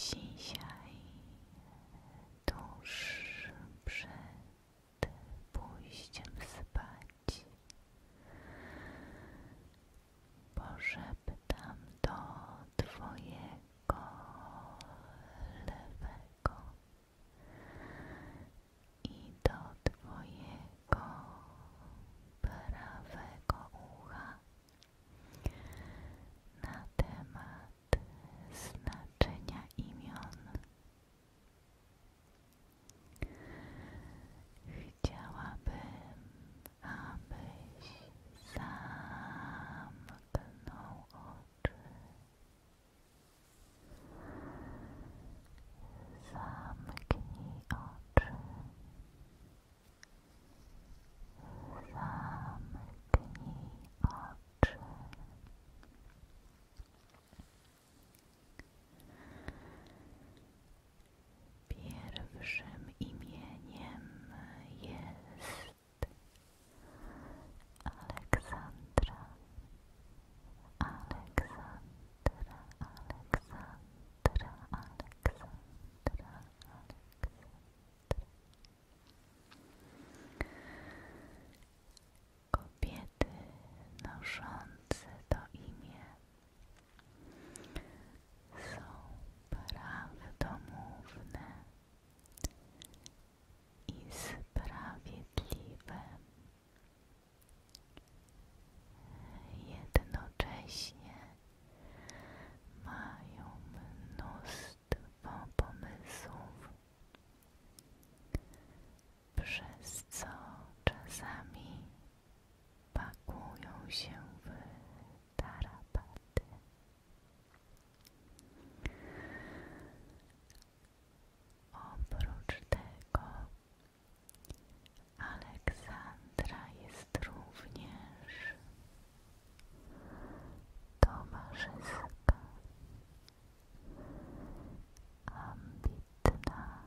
Dzisiaj, tuż przed pójściem spać, poszeptam do Twojego lewego i do Twojego prawego ucha na temat znaczenia imion. Chciałabym, abyś zamknął oczy. Zamknij oczy. Zamknij oczy. Pierwszym imieniem jest Aleksandra. Aleksandra, Aleksandra, Aleksandra, Kobiety noszące to imię są prawdomówne i sprawiedliwe. Jednocześnie mają mnóstwo pomysłów, przez co czasami bakują się w tarapaty. Oprócz tego Aleksandra jest również towarzyska ambitna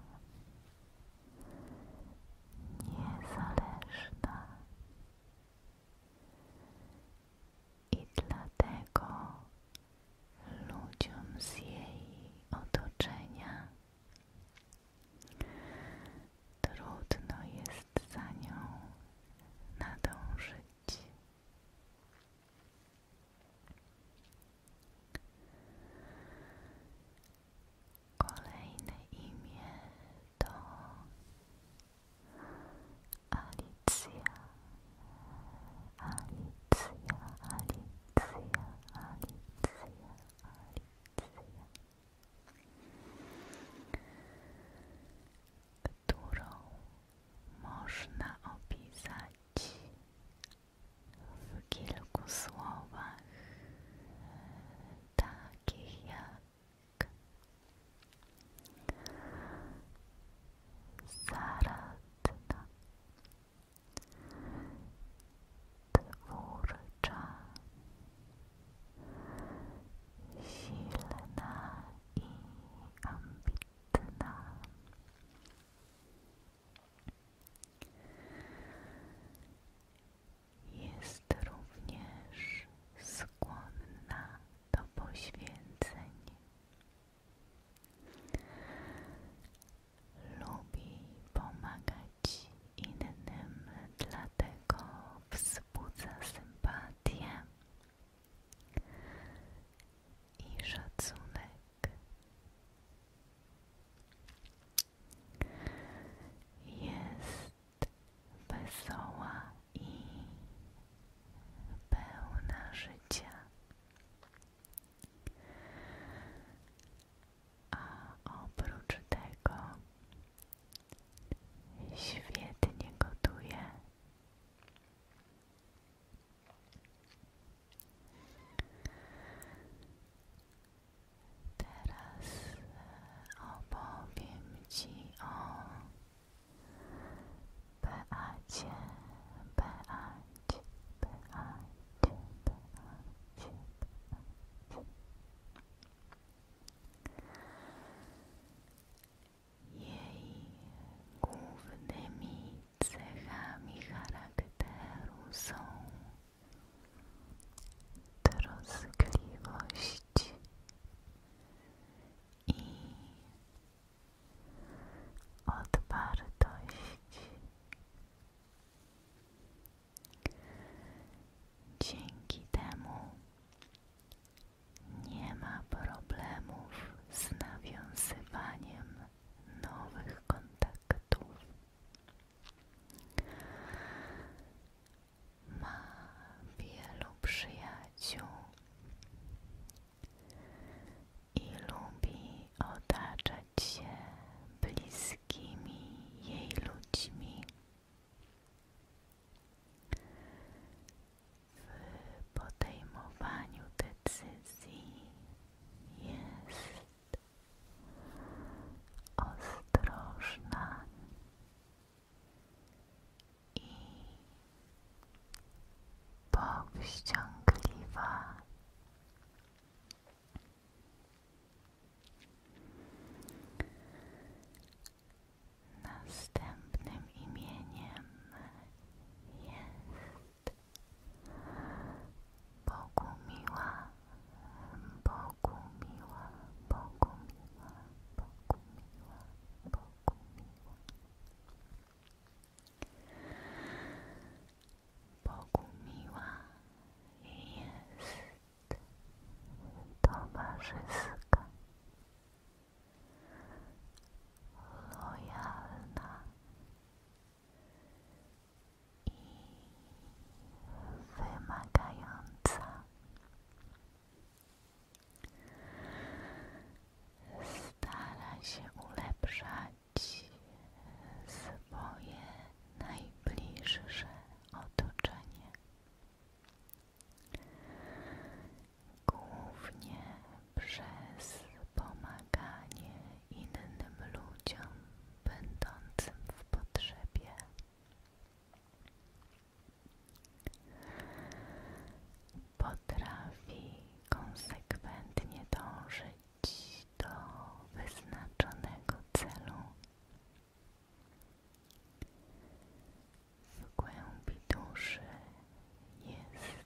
niezależna i dlatego ludziom z jej otoczenia trudno jest za nią nadążyć. Kolejne imię to Alicja, Alicja, Alicja, Alicja, Alicja którą można opisać w kilku słowach, takich jak zaradna, twórcza, silna i ambitna. Jest również skłonna do poświęceń. Lubi pomagać innym dla dlatego wzbudza sympatię i szacunek. Jest wesoła i pełna życia, a oprócz tego Świetnie gotuje. Teraz e, opowiem Ci o Beacie, Beacie, Beacie, Beacie, Beacie. Jej głównymi cechami charakteru są troskliwość i odpartość. Dzięki temu nie ma problemów z nawiązywaniem nowych kontaktów. Ma wielu przyjaciół i lubi otaczać się bliskimi jej ludźmi. W podejmowaniu decyzji jest ostrożna i powściągliwa. Następnym imieniem jest Bogu miła, Bogu miła, Bogu miła, Bogu miła, Bogu miła. jest towarzyska lojalna i wymagająca. Stara się ulepszać swoje najbliższe otoczenie głównie przez pomaganie innym ludziom będącym w potrzebie. Potrafi konsekwentnie dążyć do wyznaczonego celu. W głębi duszy jest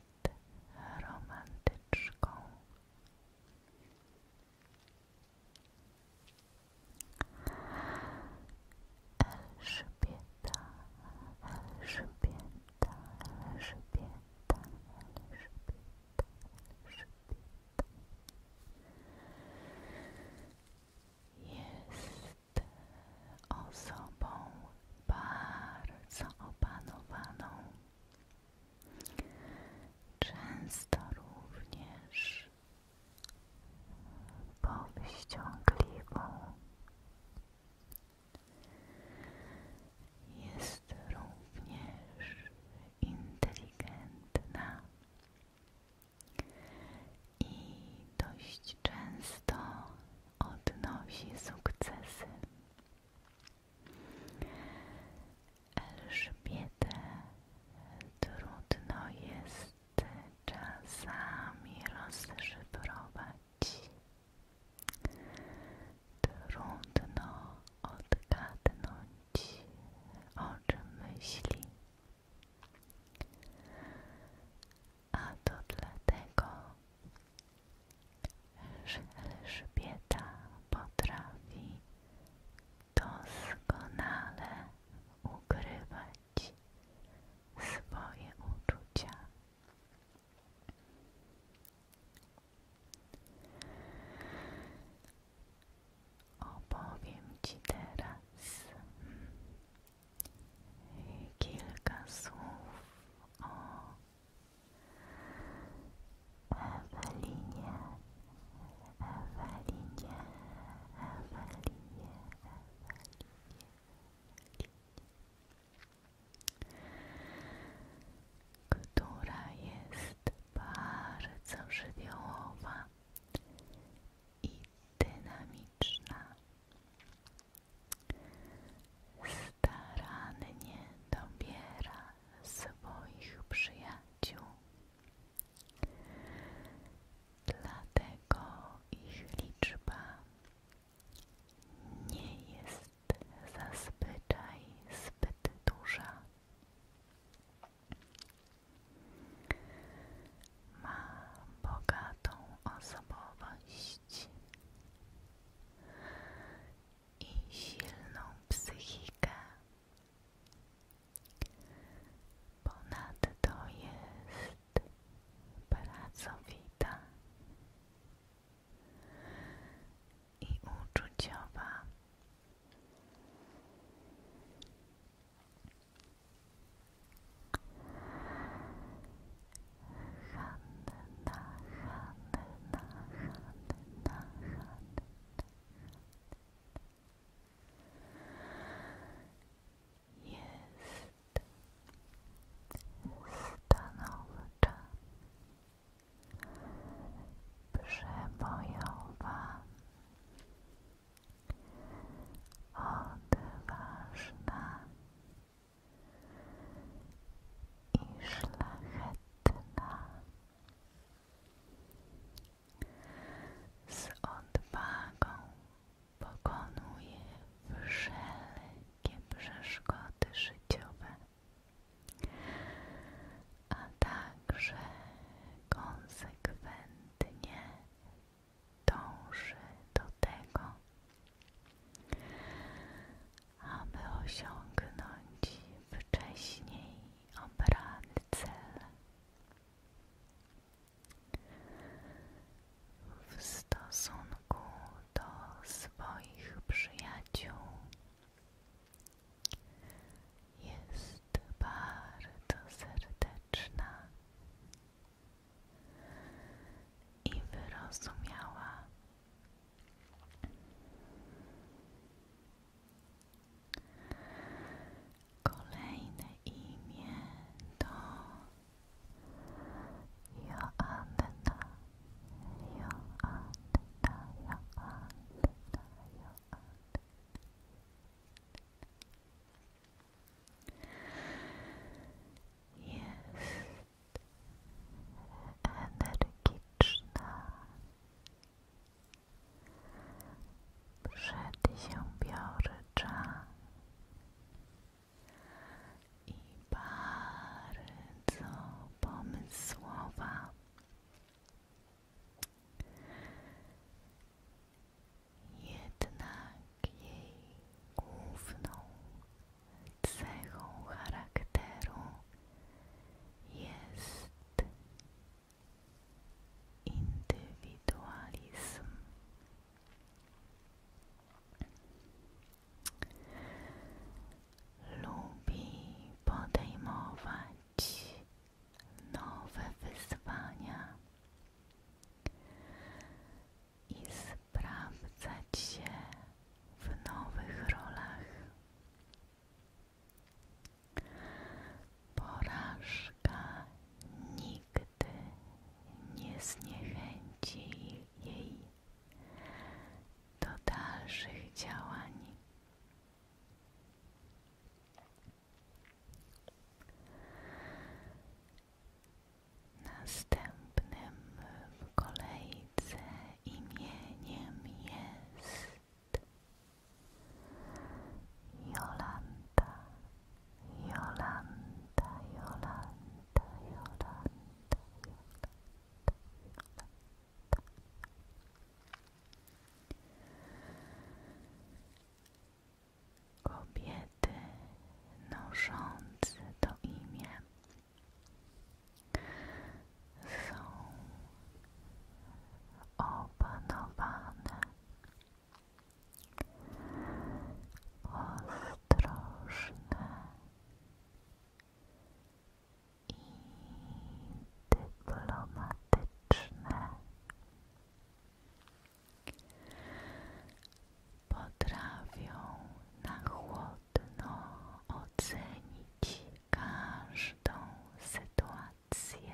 romantyczką. Elżbieta, Elżbieta, Elżbieta, Elżbieta, Elżbieta. Jest osobą bardzo opanowaną. Często również powściągliwą. Jest również inteligentna i dość często odnosi sukcesy. Elżbietę trudno jest czasami rozszyfrować. Trudno odgadnąć, o czym myśli. A to dlatego, że Elżbieta potrafi doskonale ukrywać swoje uczucia. Opowiem Ci teraz kilka słów o Ewelinie, Ewelinie, Ewelinie, Ewelinie, która jest bardzo żywiołowa i dynamiczna starannie dobiera swoich przyjaciół. Dlatego ich liczba nie jest zazwyczaj zbyt duża ma bogatą osobowość i silną psychikę. Ponadto jest pracowita i uczuciowa. Jest stanowcza, przebojowa, odważna, i szlachetna z odwagą pokonuje wszelkie przeszkody życiowe, a także konsekwentnie dąży do tego, aby osiągnąć wcześniej obrany cel. W stosunku do swoich przyjaciół jest bardzo serdeczna i wyrozumiała. Kolejne imię to Joanna, Joanna, Joanna, Joanna. Jest energiczna. Przed się biorcza i bardzo pomysłowa. Jednak jej główną cechą charakteru jest indywidualizm. Lubi podejmować nowe wyzwania i sprawdzać się w nowych rolach. Porażka nigdy nie zniechęci jej do dalszych działań. Następnym w kolejce imieniem jest Jolanta, Jolanta, Jolanta, Jolanta, Jolanta, Jolanta. Kobiety noszące to imię są opanowane. Ostrożne i dyplomatyczne potrafią na chłodno osobno ocenić każdą sytuację.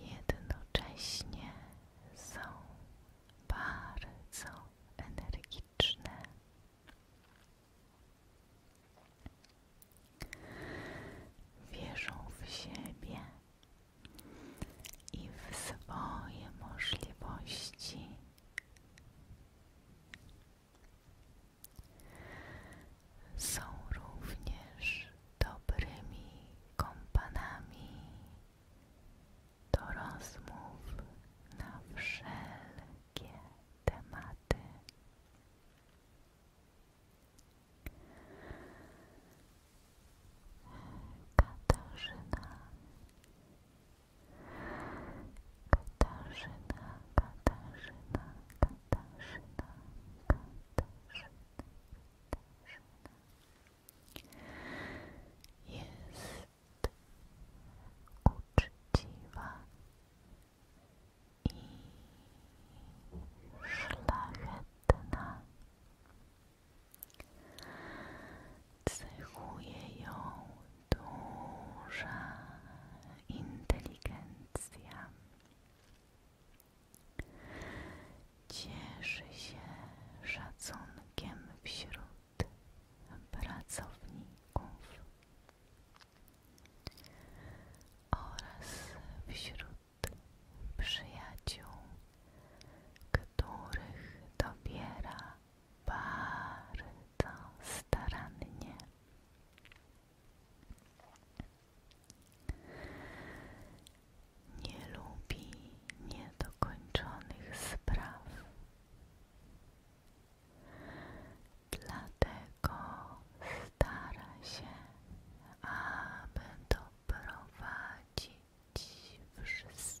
Jednocześnie są bardzo energiczne. Wierzą w siebie i w swoje możliwości. Są również dobrymi kompanami do rozmów na wszelkie tematy. Katarzyna Katarzyna, Katarzyna, Katarzyna, Katarzyna, Katarzyna jest uczciwa i szlachetna. Cechuje ją duża inteligencja. Cieszy się szacunkiem wśród pracowników oraz wśród przyjaciół których dobiera bardzo starannie. Nie lubi niedokończonych spraw. Dlatego stara się, aby doprowadzić wszystko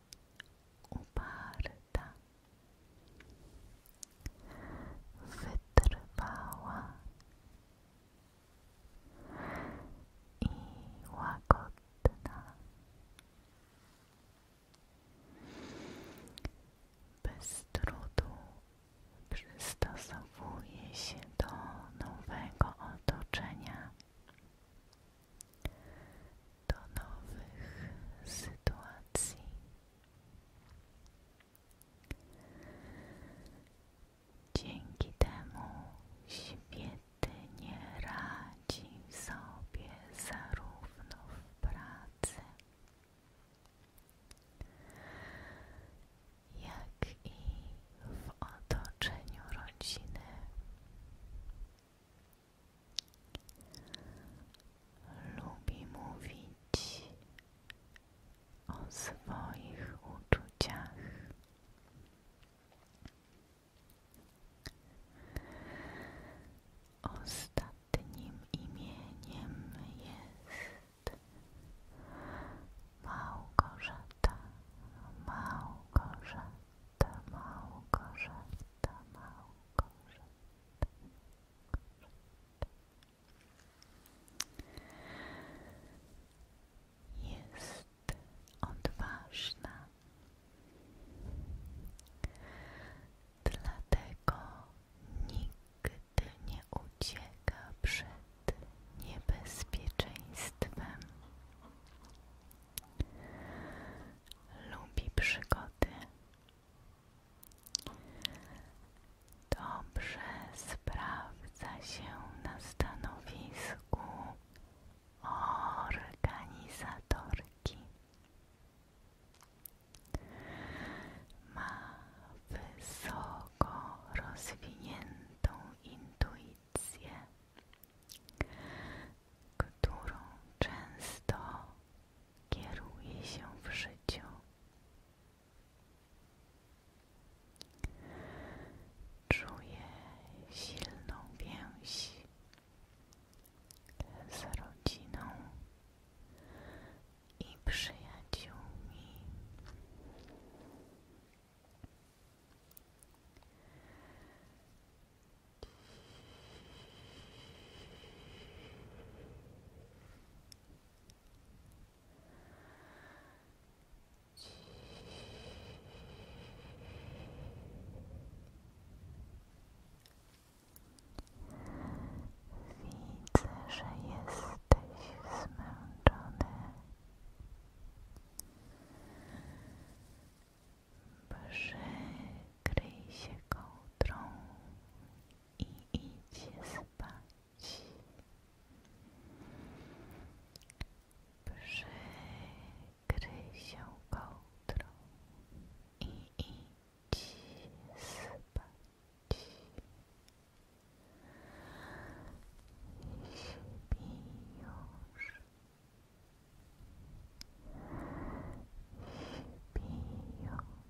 uparta, wytrwała i łagodna, bez trudu przystosowuje się do nowego otoczenia do nowych sytuacji. Dzięki temu świetnie radzi sobie zarówno w pracy, jak i w otoczeniu rodziny. Lubi mówić o swoich uczuciach. Ostatnim imieniem jest Małgorzata, Małgorzata, Małgorzata, Małgorzata. Jest odważna, dlatego nigdy nie ucieka przed niebezpieczeństwem. Lubi przygody Dobrze sprawdza się na stanowisku organizatorki. Ma wysoko rozwiniętą intuicję, którą często kieruje się w życiu. Czuję silną więź z rodziną i przyjaciółmi. Widzę, że jesteś zmęczony. Przykryj się kołdrą jądrą i idzie spać. Przykryj się kołdrą i idź spać. Śpi już.